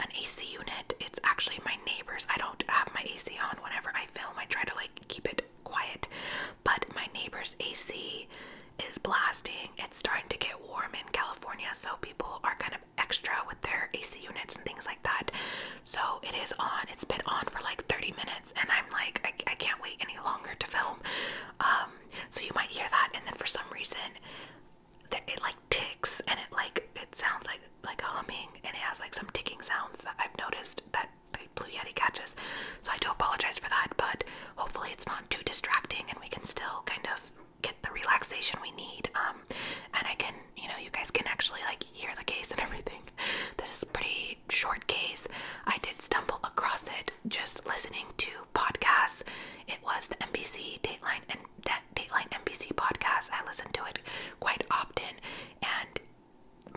an AC unit. It's actually my neighbor's. I don't have my AC on whenever I film. I try to like keep it quiet, but my neighbor's AC is blasting. It's starting to get warm in California, so people are kind of extra with their AC units and things like that. So it is on. It's been on for like 30 minutes, and I'm like, I, I can't wait any longer to film. Um, so you might hear that, and then for some reason, it like ticks and it like it sounds like like a humming and it has like some ticking sounds that I've noticed that Blue Yeti catches. So I do apologize for that, but hopefully it's not too distracting and we can still kind of get the relaxation we need. Um, and I can, you know, you guys can actually like hear the case and everything. This is pretty short case. I did stumble across it just listening to podcasts. It was the NBC Dateline and Dateline NBC podcast. I listen to it quite often, and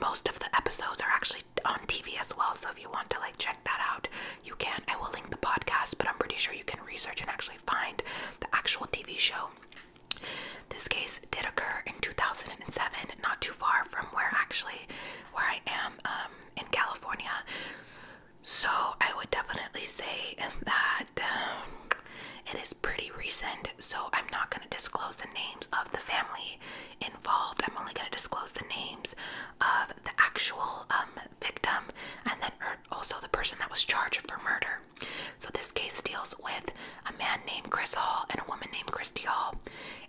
most of the episodes are actually on TV as well. So if you want to like check that out, you can. I will link the podcast, but I'm pretty sure you can research and actually find the actual TV show. This case did occur in 2007, not too far from where actually where I am um, in California. So I would definitely say that um, it is pretty recent. So I'm not going to disclose the names of the family involved. I'm only going to disclose the names of the actual um, victim and then er, also the person that was charged for murder. So this case deals with a man named Chris Hall and a woman named Christy Hall,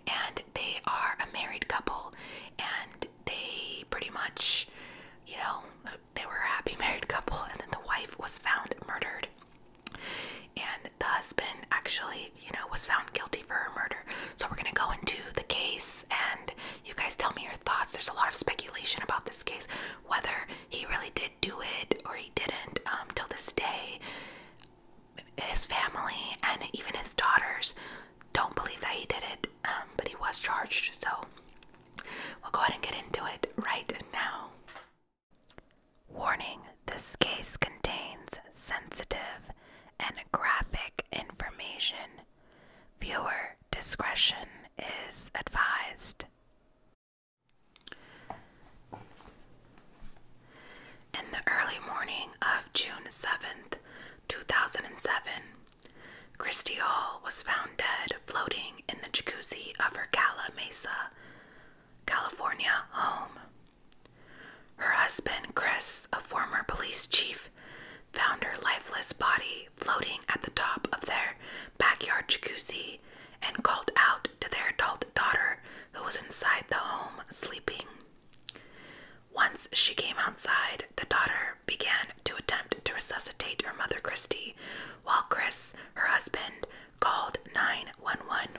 and they are a married couple, and they pretty much, you know, they were a happy married couple, and then the wife was found murdered. And the husband actually, you know, was found guilty for her murder. So we're gonna go into the case, and you guys tell me your thoughts. There's a lot of speculation about this case, whether he really did do it or he didn't. Um, till this day, his family and even his daughters don't believe that he did it. Um, but he was charged, so we'll go ahead and get into it right now. Warning this case contains sensitive and graphic information. Viewer discretion is advised. In the early morning of June 7th, 2007, Christy Hall was found dead floating in the jacuzzi of her Cala Mesa, California home. Her husband, Chris, a former police chief, found her lifeless body floating at the top of their backyard jacuzzi and called out to their adult daughter who was inside the home sleeping. Once she came outside, the daughter began to attempt to resuscitate her mother, Christy, while Chris, her husband, called 911.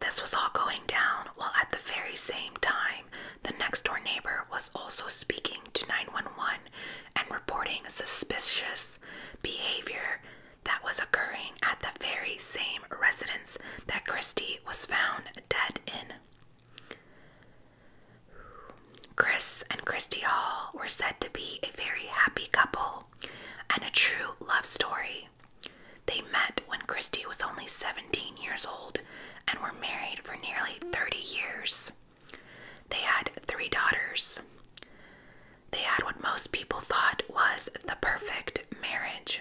This was all going down while at the very same time, the next door neighbor was also speaking to 911 and reporting suspicious behavior that was occurring at the very same residence that Christy was found dead in. Chris and Christy Hall were said to be a very happy couple and a true love story. They met when Christy was only 17 years old and were married for nearly 30 years. They had three daughters. They had what most people thought was the perfect marriage.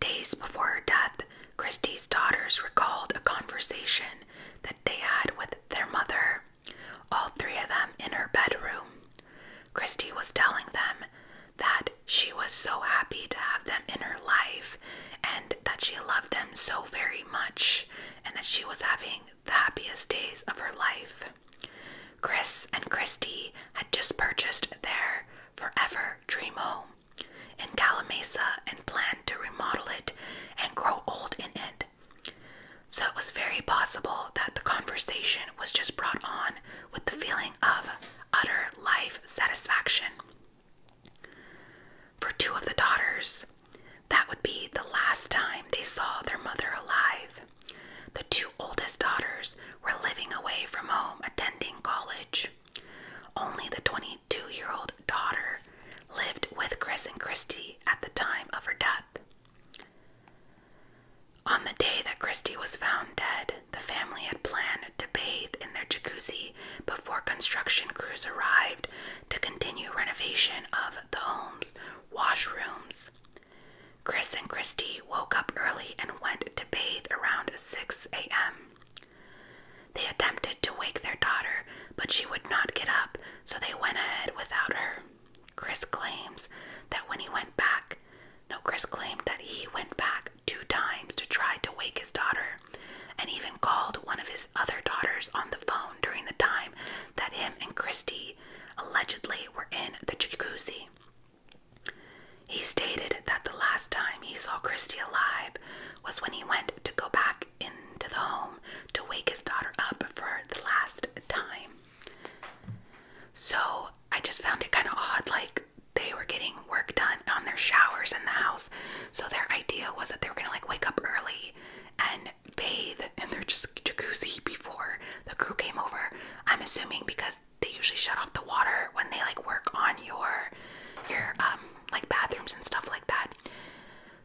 Days before her death, Christie's daughters recalled a conversation that they had with their mother, all three of them in her bedroom. Christie was telling them that she was so happy to have them in her life and that she loved them so very much and that she was having the happiest days of her life. Chris and Christie had just purchased their forever dream home in Calamasa and plan to remodel it and grow old in it. So it was very possible that the conversation was just brought on with the feeling of utter life satisfaction. For two of the daughters, that would be the last time they saw their mother alive. The two oldest daughters were living away from home attending college. Only the 22 year old daughter lived with Chris and Christy at the time of her death. On the day that Christy was found dead, the family had planned to bathe in their jacuzzi before construction crews arrived to continue renovation of the home's washrooms. Chris and Christy woke up early and went to bathe around 6 a.m. They attempted to wake their daughter, but she would not get up, so they went ahead without her. Chris claims that when he went back, no, Chris claimed that he went back two times to try to wake his daughter and even called one of his other daughters on the phone during the time that him and Christy allegedly were in the jacuzzi. He stated that the last time he saw Christy alive was when he went to go back into the home to wake his daughter up for the last time. So I just found it kind of odd, like they were getting work done on their showers in the house. So their idea was that they were gonna like wake up early and bathe and they're just jacuzzi before the crew came over. I'm assuming because they usually shut off the water when they like work on your your um like bathrooms and stuff like that.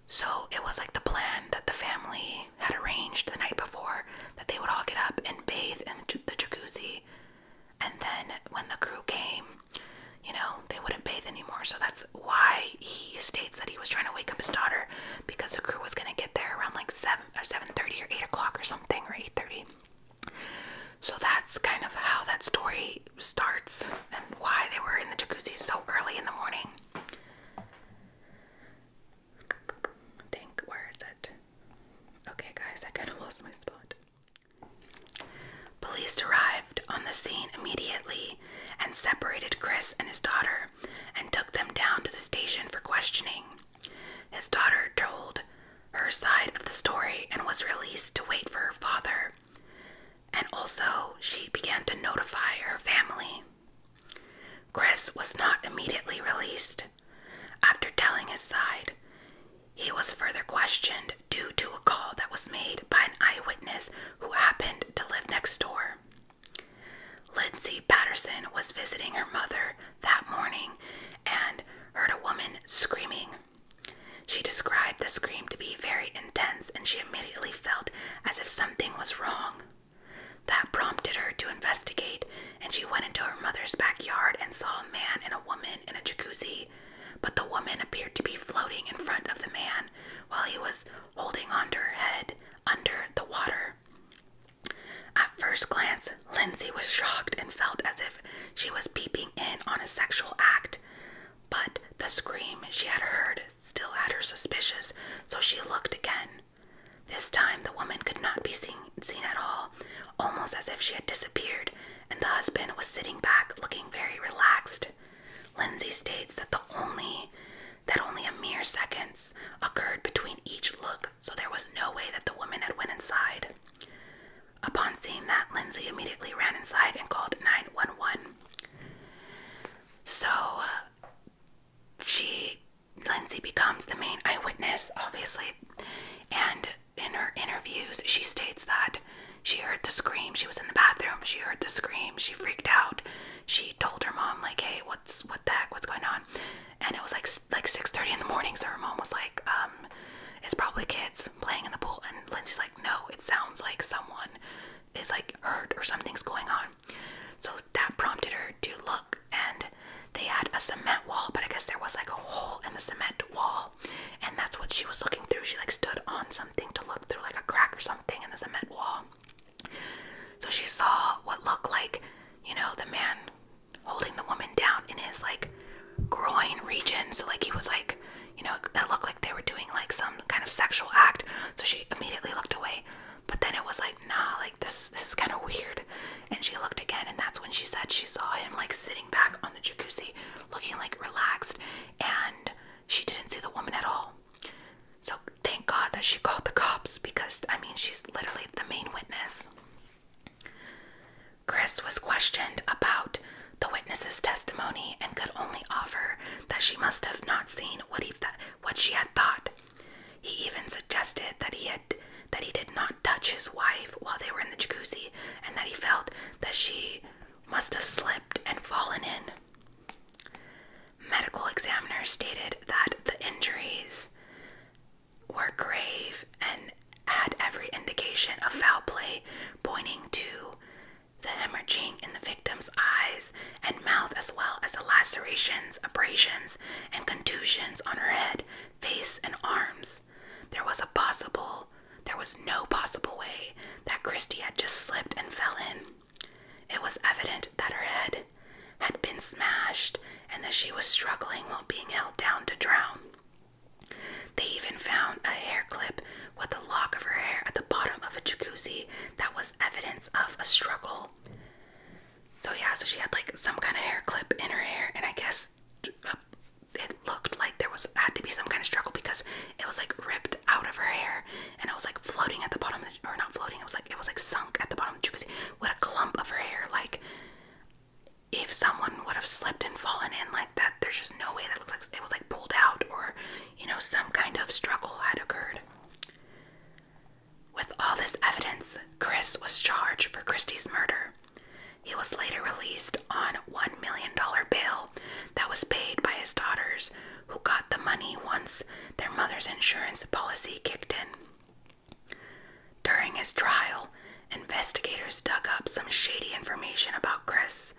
So it was like the plan that the family had arranged the night before that they would all get up and bathe in the, jacuzzi, and then when the crew came, you know, they wouldn't bathe anymore. So that's why he states that he was trying to wake up his daughter because the crew was gonna get there around like seven seven thirty or eight o'clock or something or eight thirty. So that's kind of how that story starts and why they were in the jacuzzi so early in the morning. Think, where is it? Okay, guys, I kind of lost my spot. Police arrived on the scene immediately and separated Chris and his daughter and took them down to the station for questioning. His daughter told her side of the story and was released to wait for her father. And also, she began to notify her family. Chris was not immediately released. After telling his side, he was further questioned due to a call that was made by an eyewitness who happened to live next door. Lindsay Patterson was visiting her mother that morning and heard a woman screaming. She described the scream to be very intense and she immediately felt as if something was wrong. That prompted her to investigate, and she went into her mother's backyard and saw a man and a woman in a jacuzzi. But the woman appeared to be floating in front of the man while he was holding on her head under the water. At first glance, Lindsay was shocked and felt as if she was peeping in on a sexual act. But the scream she had heard still had her suspicious, so she looked again. This time, the woman could not be seen, at all, almost as if she had disappeared, and the husband was sitting back looking very relaxed. Lindsay states that the only that only a mere seconds occurred between each look so there was no way that the woman had went inside. Upon seeing that, Lindsay immediately ran inside and called 911. So uh, she Lindsay becomes the main eyewitness, obviously, and in her interviews, she states that she heard the scream. She was in the bathroom. She heard the scream. She freaked out. She told her mom, like, "Hey, what's what the heck? What's going on?" and it was like like 6:30 in the morning so her mom was like um, it's probably kids playing in the pool and Lindsay's like no it sounds like someone is like hurt or something's going on so that prompted her to look and they had a cement wall but I guess there was like a hole in the cement wall and that's what she was looking through she like stood on something to look through like a crack or something in the cement wall so she saw what looked like, you know, the man holding the woman down in his like groin region. So, like, he was like, you know, it looked like they were doing like some kind of sexual act. So she immediately looked away. But then it was like, nah, like this, this is kind of weird. And she looked again, and that's when she said she saw him like sitting back on the jacuzzi, looking like relaxed, and she didn't see the woman at all. So thank God that she called the cops because, I mean, she's literally the main witness. Chris was questioned about the witness's testimony and could only offer that she must have not seen what he th what she had thought. He even suggested that he had that he did not touch his wife while they were in the jacuzzi and that he felt that she must have slipped and fallen in medical examiner stated that the injuries were grave and had every indication of foul play, pointing to the hemorrhaging in the victim's eyes and mouth, as well as the lacerations, abrasions, and contusions on her head, face, and arms. There was a possible, there was no possible way that Christie had just slipped and fell in. It was evident that her head had been smashed and that she was struggling while being held down to drown. They even found a hair clip with a lock of her hair at the bottom of a jacuzzi that was evidence of a struggle. So, yeah, so she had like some kind of hair clip in her hair, and I guess uh, it looked like there was had to be some kind of struggle because it was like ripped out of her hair and I was like floating at the bottom or not floating, it was like it was like sunk at the bottom of the jacuzzi with a clump of her hair. Like if someone would have slipped and fallen in like that, there's just no way that it was like pulled out or you know, some kind of struggle had occurred. With all this evidence, Chris was charged for Christie's murder. He was later released on $1 million bail that was paid by his daughters, who got the money once their mother's insurance policy kicked in. During his trial, investigators dug up some shady information about Chris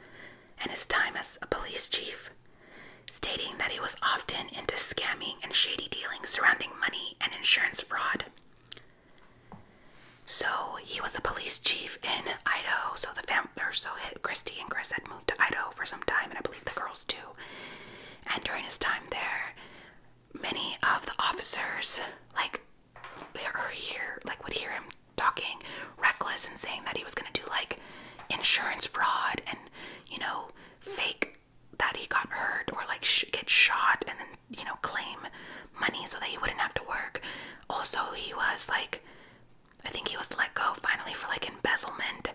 and his time as a police chief, stating that he was often into scamming and shady dealings surrounding money and insurance fraud. So he was a police chief in Idaho. So the fam, or so Christy and Chris had moved to Idaho for some time, and I believe the girls too. And during his time there, many of the officers, like, or hear, like, would hear him talking reckless and saying that he was gonna do like insurance fraud and you know fake that he got hurt or like sh get shot and then you know claim money so that he wouldn't have to work. Also, he was like I think he was let go finally for like embezzlement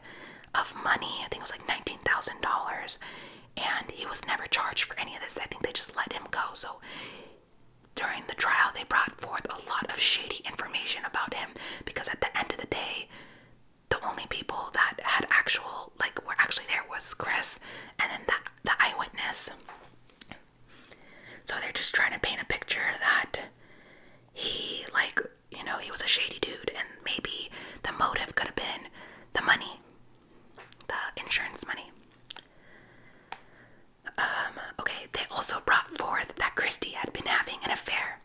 of money. I think it was like $19,000. And he was never charged for any of this. I think they just let him go. So during the trial, they brought forth a lot of shady information about him because at the end of the day, the only people that had actual, like, were actually there was Chris and then that, the eyewitness. So they're just trying to paint a picture that he, like, you know, he was a shady dude, and maybe the motive could have been the money, the insurance money. Um, okay, they also brought forth that Christie had been having an affair.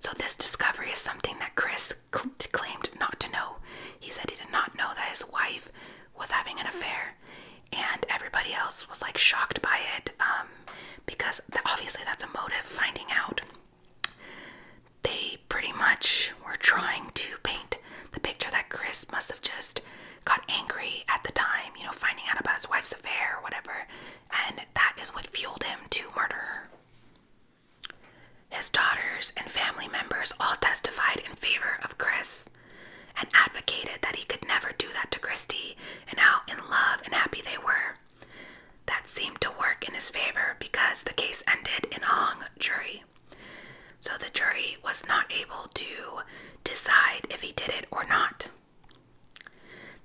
So, this discovery is something that Chris claimed not to know. He said he did not know that his wife was having an affair, and everybody else was like shocked by it. Um, because obviously that's a motive finding out. They pretty much were trying to paint the picture that Chris must have just got angry at the time, you know, finding out about his wife's affair or whatever, and that is what fueled him to murder His daughters and family members all testified in favor of Chris and advocated that he could never do that to Christy and how in love and happy they were. That seemed to work in his favor because the case ended in a hung jury. So the jury was not able to decide if he did it or not.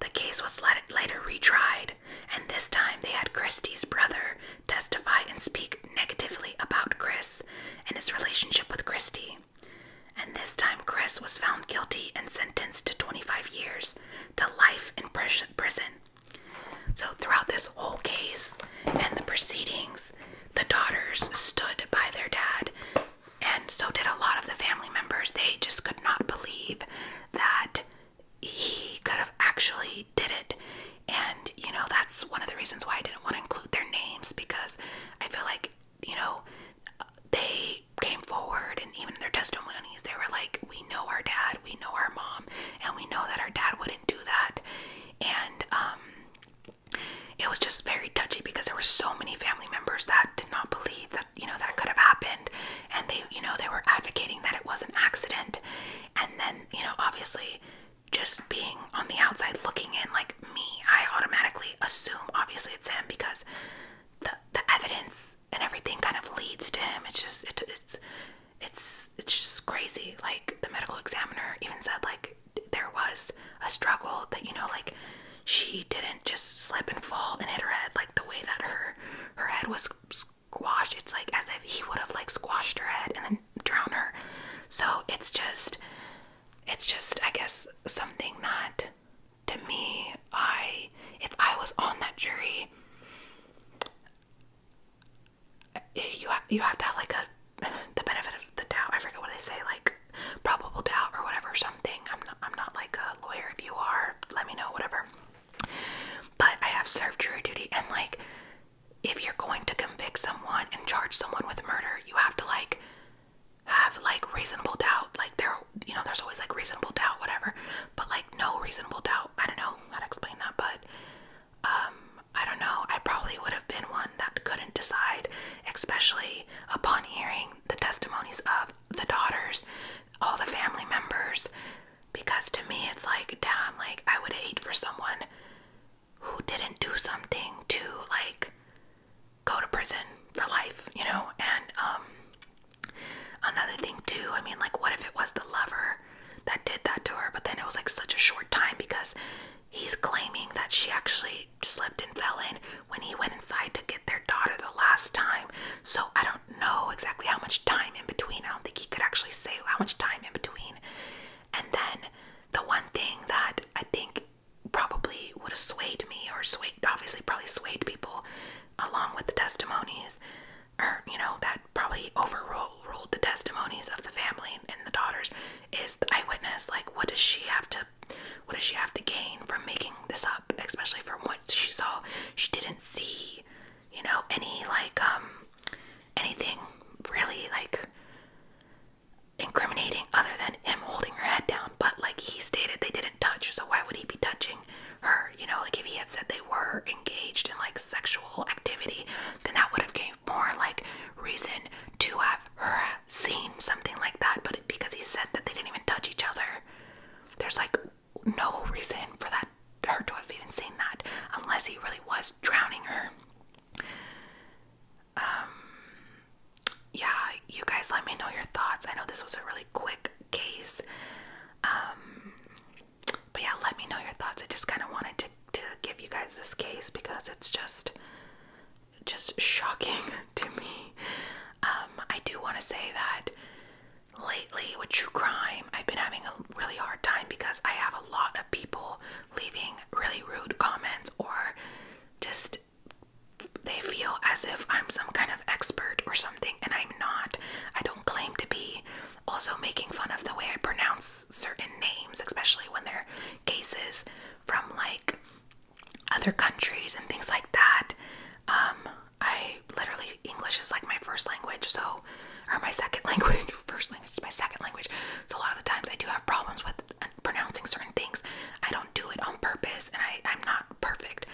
The case was later retried, and this time they had Christie's brother testify and speak negatively about Chris and his relationship with Christie. And this time, Chris was found guilty and sentenced to 25 years to life in prison. So, throughout this whole case and the proceedings, the daughters stood by their dad, and so did a lot of the family members. They just could not believe that he could have actually did it. And, you know, that's one of the reasons why I didn't want to include their names because I feel like, you know, they came forward and even their testimonies they were like we know our dad we know our mom and we know that our dad wouldn't do that and um, it was just very touchy because there were so many family members that did not believe that you know that could have happened and they you know they were advocating that it was an accident and then you know obviously just being on the outside looking in like me i automatically assume obviously it's him because the the evidence and everything kind of leads to him. It's just it's it's it's just crazy. Like the medical examiner even said like there was a struggle that you know like she didn't just slip and fall and hit her head like the way that her her head was squashed. It's like as if he would have like squashed her head and then drown her. So it's just it's just I guess something that to me, I if I was on that jury, you have, you have to have like a the benefit of the doubt. I forget what they say, like probable doubt or whatever or something. I'm not I'm not like a lawyer. If you are, let me know whatever. But I have served jury duty, and like if you're going to convict someone and charge someone with murder, you have to like have like reasonable doubt like there you know there's always like reasonable doubt whatever but like no reasonable doubt i don't know how to explain that but um i don't know i probably would have been one that couldn't decide especially upon hearing the testimonies of the daughters all the family members because to me it's like damn like i would hate for someone who didn't do something to like go to prison for life, you know? And um, another thing, too, I mean, like, what if it was the lover that did that to her? But then it was like such a short time because he's claiming that she actually slipped and fell in when he went inside to get their daughter the last time. So I don't know exactly how much time in between. I don't think he could actually say how much time in between. And then the one thing that I think probably would have swayed me or swayed, obviously, probably swayed people along with the testimonies, or you know, that probably overruled the testimonies of the family and the daughters is the eyewitness. Like, what does she have to? What does she have to gain from making this up? Especially from what she saw, she didn't see, you know, any like um anything really like incriminating other than him holding her head down, but like he stated they didn't touch, so why would he be touching her? You know, like if he had said they were engaged in like sexual activity, then that would have gave more like reason to have her seen something like that, but because he said that they didn't even touch each other, there's like no reason for that her to have even seen that unless he really was drowning her um yeah you guys let me know your thoughts i know this was a really quick case um but yeah let me know your thoughts i just kind of wanted to, to give you guys this case because it's just just shocking to me um i do want to say that lately with true crime i've been having a really hard time because i have a lot of people leaving really rude comments or just they feel as if I'm some kind of expert or something, and I'm not. I don't claim to be. Also, making fun of the way I pronounce certain names, especially when they're cases from like other countries and things like that. Um, I literally, English is like my first language, so, or my second language, first language is my second language. So, a lot of the times I do have problems with pronouncing certain things. I don't do it on purpose, and I I'm not perfect.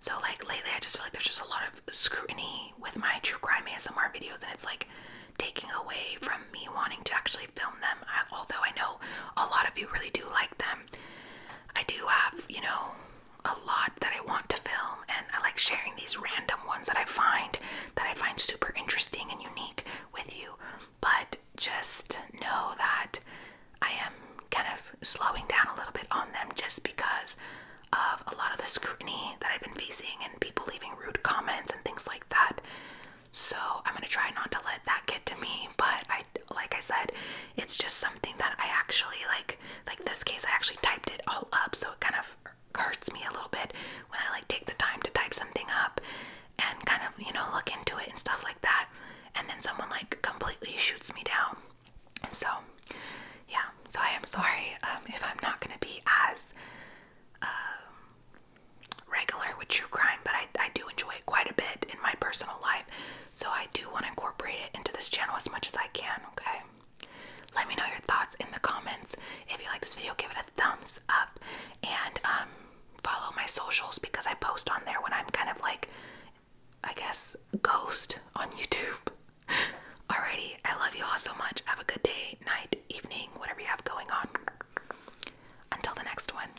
So like lately, I just feel like there's just a lot of scrutiny with my true crime ASMR videos, and it's like taking away from me wanting to actually film them. although I know a lot of you really do like them, I do have you know a lot that I want to film, and I like sharing these random ones that I find that I find super interesting and unique with you. But just know that I am kind of slowing down a little bit on them just because of a lot of the scrutiny that I've been facing and people leaving rude comments and things like that. So I'm going to try not to let that get to me, but I like I said, it's just something that I actually like like this case I actually typed it all up so it kind of hurts me a little bit when I like take the time to type something up and kind of, you know, look into it and stuff like that. And then someone like completely shoots me down. so, yeah, so I am sorry um, if I'm not going to be as um, regular with true crime, but I, I do enjoy it quite a bit in my personal life. So I do want to incorporate it into this channel as much as I can, okay? Let me know your thoughts in the comments. If you like this video, give it a thumbs up. And um, follow my socials because I post on there when I'm kind of like, I guess, ghost on YouTube. Alrighty, I love you all so much. Have a good day, night, evening, whatever you have going on. Until the next one.